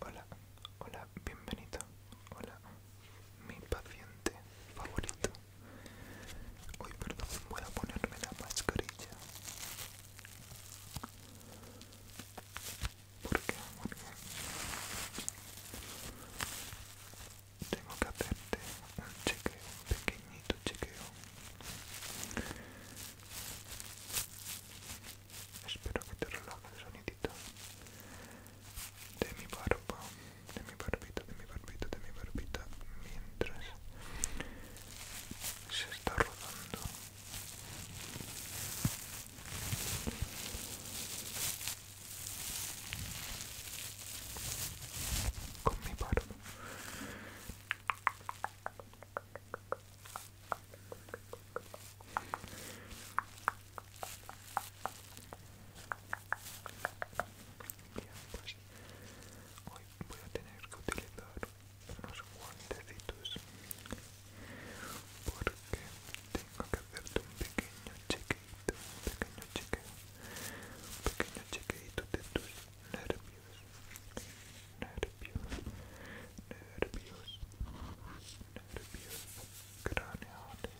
Hola, hola, bienvenido. Hola, mi paciente favorito. Hoy, perdón, voy a ponerme la mascarilla. ¿Por qué? tengo que hacerte un chequeo, pequeñito chequeo. Espero que te relaje el sonidito de mi barba, de mi barbita, de mi barbita, de mi barbita, mientras se está rodando con mi paro pues, hoy voy a tener que utilizar unos guantecitos porque tengo que hacerte un pequeño cheque un pequeño chequeo, un pequeño chequeito de tus nervios, nervios, nervios, nervios craneales.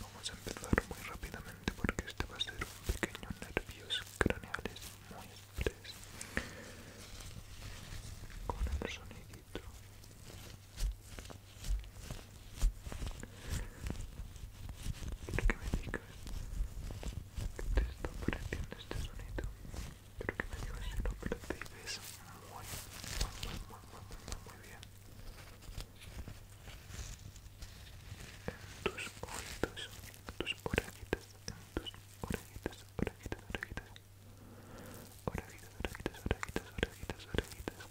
Vamos a empezar muy rápidamente porque este va a ser un pequeño nervios craneales muy express con el sonidito. Quiero que me digas que te está pareciendo este sonido. Quiero que me digas si lo percibes muy, muy, muy, muy, muy, muy bien. En tus oídos, en tus orejitas, en tus orejitas, orejitas, orejitas. Orejitas, orejitas, orejitas, orejitas, orejitas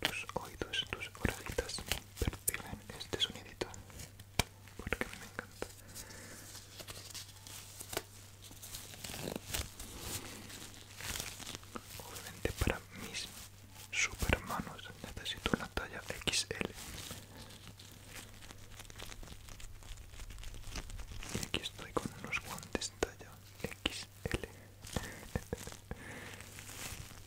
tus oídos, tus orejitas perciben este sonidito porque a me encanta. Obviamente para mis supermanos necesito la talla XL. Y aquí estoy con unos guantes talla XL.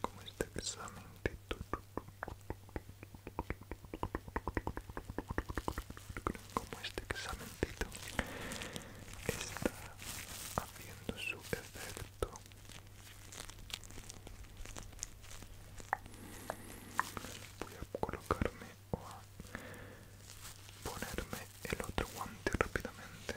como este examen Tito como este examen está haciendo su efecto voy a colocarme o a ponerme el otro guante rápidamente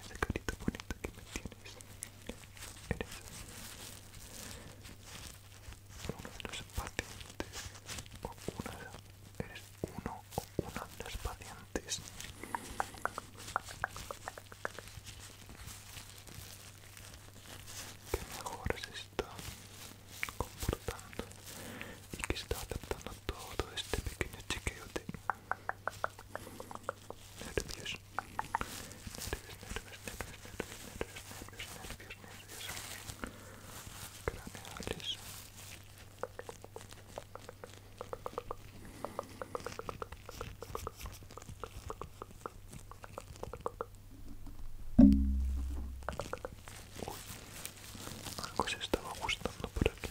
Ese carita bonito que me tienes eres uno de los pacientes o una eres uno o una de las pacientes que mejor se está comportando y que está adaptando todo este pequeño chiquillo de nervios, nervios, nervios, nervios, nervios, nervios, nervios, algo se estaba gustando por aquí.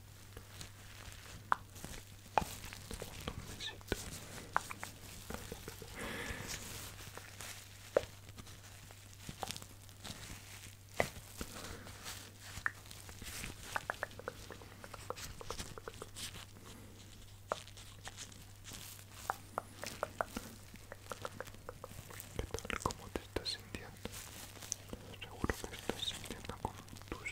¿Qué tal? ¿Cómo te estás sintiendo? Seguro que estás sintiendo con tus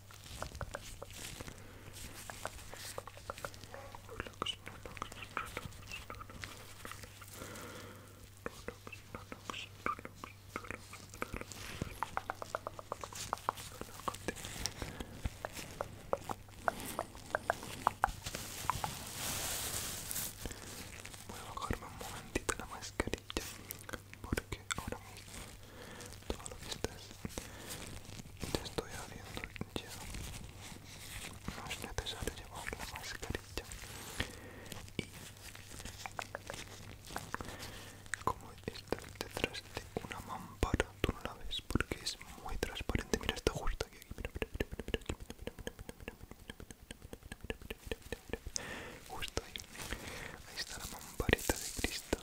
Voy a bajarme un momentito la mascarilla porque ahora todo lo que estás te estoy haciendo ya no es necesario llevar la mascarilla y como está detrás de una mampara tú no la ves porque es muy transparente mira está justo aquí mira mira mira justo ahí ahí está la mamparita de cristal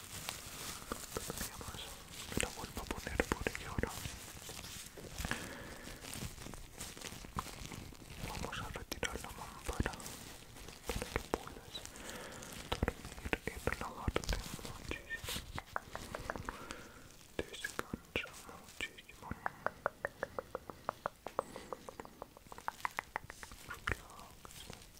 pero todavía más lo vuelvo a poner porque ahora vamos a retirar la mampara para que puedas dormir y relajarte muchísimo descansa muchísimo Relax.